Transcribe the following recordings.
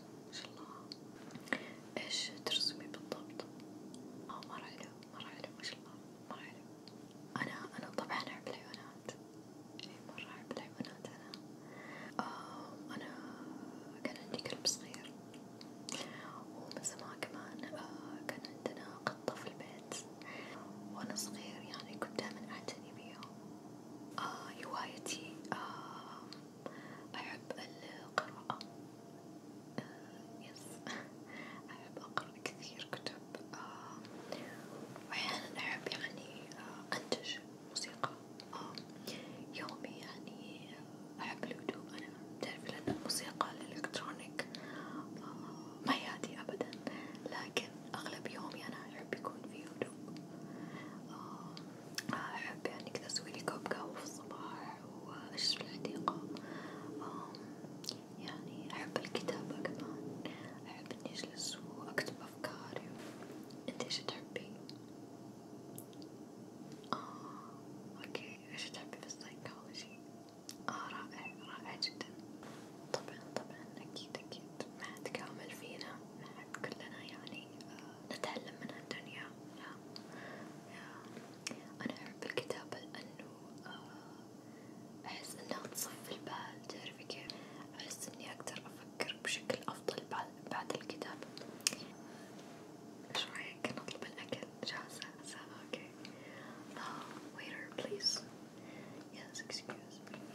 ما شاء الله ايش ترسمي بالضبط؟ اه مرة حلو مرة حلو ما شاء الله مرة حلو انا انا طبعا احب الحيوانات اي مرة احب الحيوانات انا آه انا كان عندي كلب صغير ومن زمان كمان آه كان عندنا قطة في البيت وانا صغير يعني كنت دائما اعتني بيهم آه هوايتي آه أحب القراءة يس آه، أحب أقرأ كثير كتب آه، وأحيانا أحب يعني آه، أنتج موسيقى يومي يعني أحب الهدوء أنا تعرف لأن الموسيقى الإلكترونيك ما يهدي أبدا لكن أغلب يومي أنا أحب يكون في هدوء حلو أحب يعني كذا أسويلي كوب قهوة في الصباح وأجلس في الحديقة يعني أحب الكتابة كمان أحب إني أجلس وأكتب أفكاري أنت إيش تحبي؟ آه أوكي إيش تحبي في السايكولوجي؟ آه رائع رائع جدا طبعا طبعا أكيد أكيد ما حد كامل فينا نحب كلنا يعني آه، نتعلم من الدنيا أنا أحب الكتابة لأنه آه، أحس إنها تصفي البال تعرفي كيف أحس إني أقدر أفكر بشكل أفضل بعد الكتابة إيش رأيك نطلب الأكل جاهزة؟ أوكي ويتر بليز Yes, excuse me.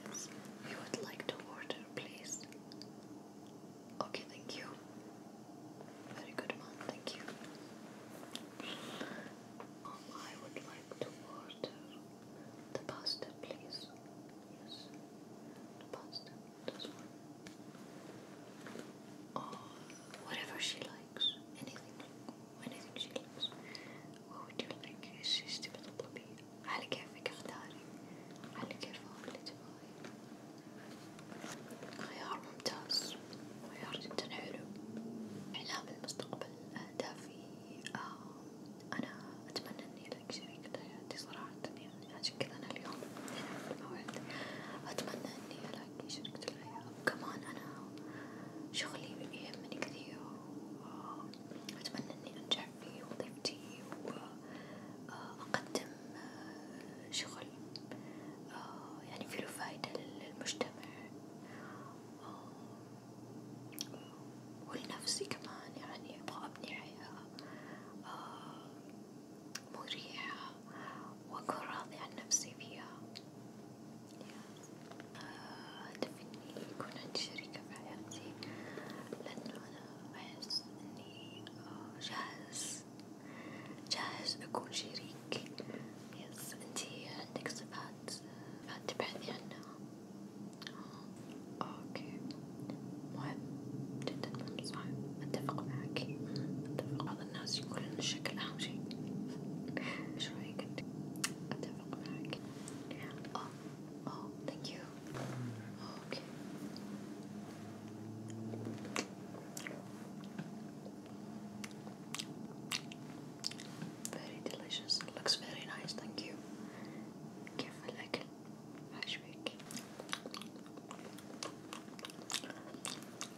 Yes. We would like to order, please. Okay, thank you. Very good, mom. Thank you. Mom, I would like to order the pasta, please. Yes, the pasta. This one. Or oh, whatever she likes. Anything. ونفس الشيء وأود لك إيش إيش تبي تطلبي على كيفك اختاري على كيفك اللي تبغي خيار ممتاز خيار جدا حلو إعلام المستقبل أهدافي آه أنا أتمنى إني لك شريكة حياتي صراحة يعني عشان كذا أنا اليوم هنا في الموعد أتمنى إني ألاقي شريكة الحياة وكمان أنا شغلي يهمني كثير أتمنى إني أنجح في وظيفتي وأقدم شغل يعني فيه فايدة للمجتمع ولنفسي كمان يعني أبغى أبني حياة مريحة وأكون راضية عن نفسي فيها هدفي إني يكون عندي شريكة في حياتي لأنه أنا أحس إني جاهز جاهز أكون شريك يس أنتي عندك صفات تبحثي عنها اوكي مهم جدا مهم صح اتفق معك اتفق بعض الناس يقولون الشكل اهم شي ايش رايك انت Oh, oh, thank you. Okay. Very delicious. Looks very nice. Thank you. كيف الأكل؟ عاش بيك.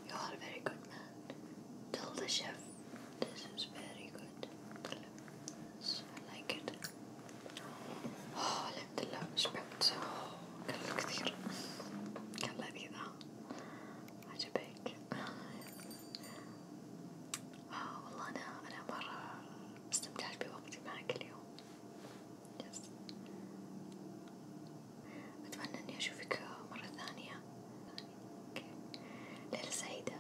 You are very good Tell the chef this is very good. I like it. أوه الحمد لله شبعت أكلت كثير كان لذيذ ها عجبك آه والله أنا أنا مرة استمتعت بوقتي معك اليوم يس أتمنى إني أشوفك مرة ثانية، أوكي، ليلة سعيدة.